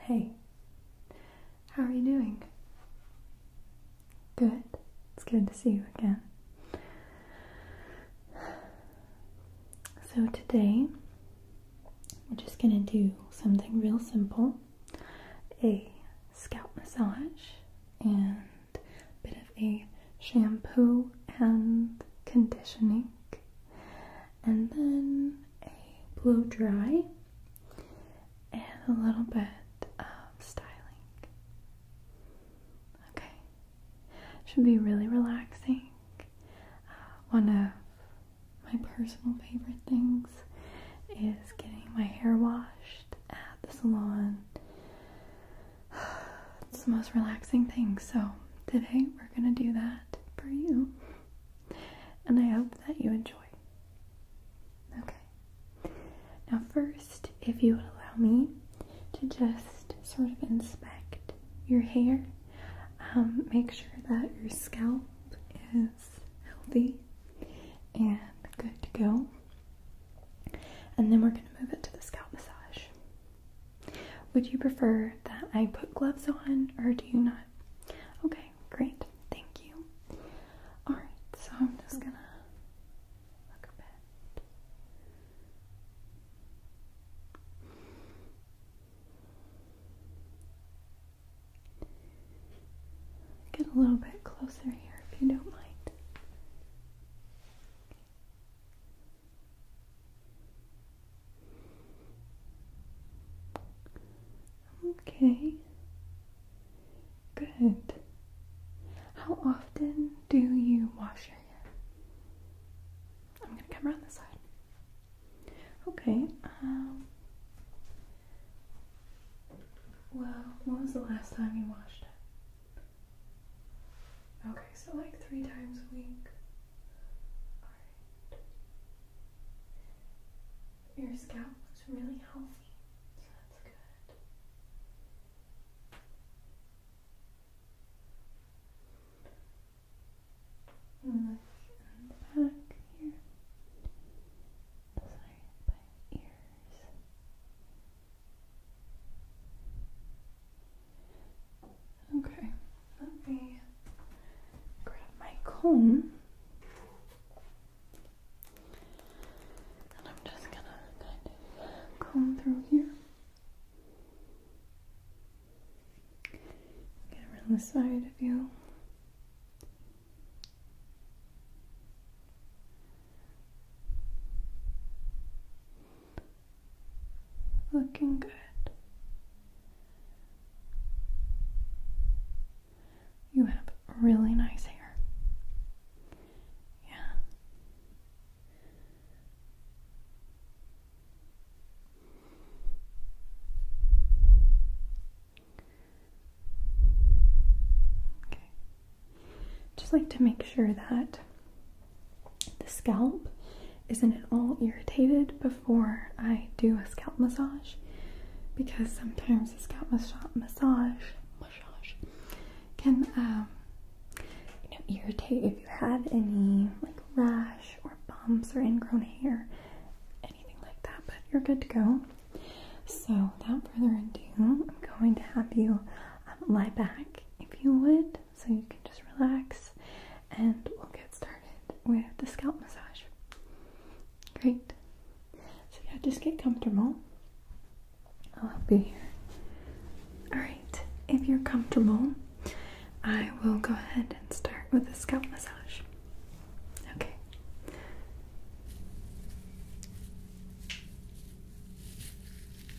Hey, how are you doing? Good. It's good to see you again. So, today we're just going to do something real simple a scalp massage and bit of a shampoo and conditioning. And then a blow dry and a little bit of styling. Okay, should be really relaxing. Uh, one of my personal favorite things is getting my hair washed at the salon. It's the most relaxing thing. So, today we're gonna do that for you and I hope that you enjoy. Okay. Now, first, if you would allow me to just sort of inspect your hair, um, make sure that your scalp is healthy and good to go. And then we're going to move it to the scalp massage. Would you prefer that I put gloves on or do you not? Okay, great. Thank you. Alright, so I'm just gonna Get a little bit closer here if you don't mind. Okay. Good. How often do you wash your hair? I'm gonna come around this side. Okay. Um, well, when was the last time you washed it? Okay, so like three times a week. Your scalp looks really healthy, so that's good. Look in the back here. Sorry, by ears. Okay, let me grab my comb. And I'm just gonna kind of comb through here. Get around the side of you. Looking good. You have really nice hair. Yeah. Okay. Just like to make sure that the scalp isn't at all irritated before I do a scalp massage because sometimes a scalp massage can um, you know, irritate if you have any like rash or bumps or ingrown hair, anything like that. But you're good to go. So without further ado, I'm going to have you um, lie back if you would so you can just relax and we'll get started with the scalp massage. Great. So yeah, just get comfortable. I'll be here. Alright, if you're comfortable, I will go ahead and start with the scalp massage. Okay.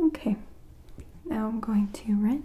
Okay, now I'm going to rinse.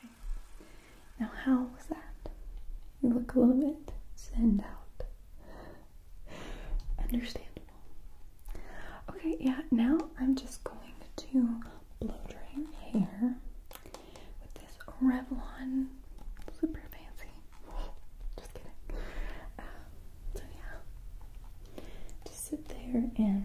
Okay. Now, how was that? look a little bit send out. Understand. Okay, yeah, now I'm just going to blow dry hair with this Revlon. Super fancy. Just kidding. Uh, so, yeah. Just sit there and relax.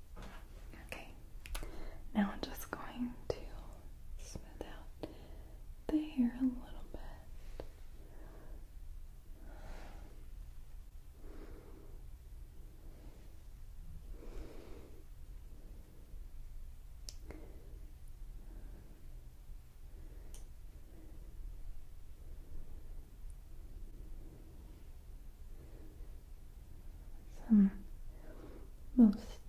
Okay, now I'm just going to smooth out the hair a little bit some most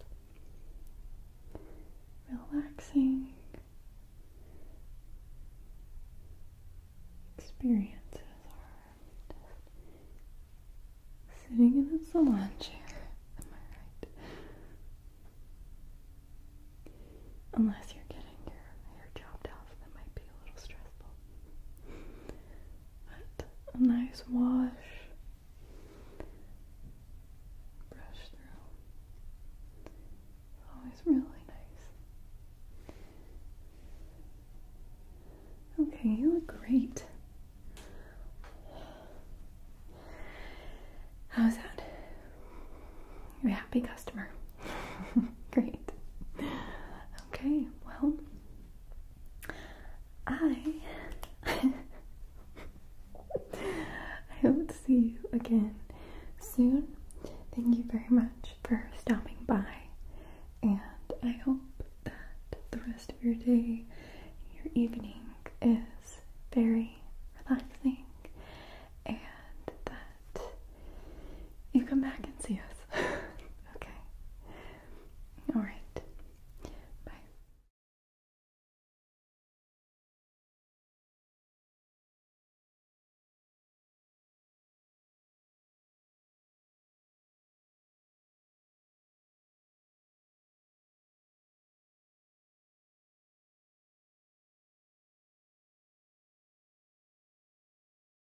relaxing experiences are sitting in a salon chair. Am I right? Unless you're getting your hair chopped off, that might be a little stressful a nice wash. Brush through. always really nice. Okay, you look great. How's that? You're a happy customer. great. Okay, well, I I hope to see you again soon. Thank you very much for stopping by, and I hope that the rest of your day your evening is very relaxing and that you come back and see us. okay. All right. Bye.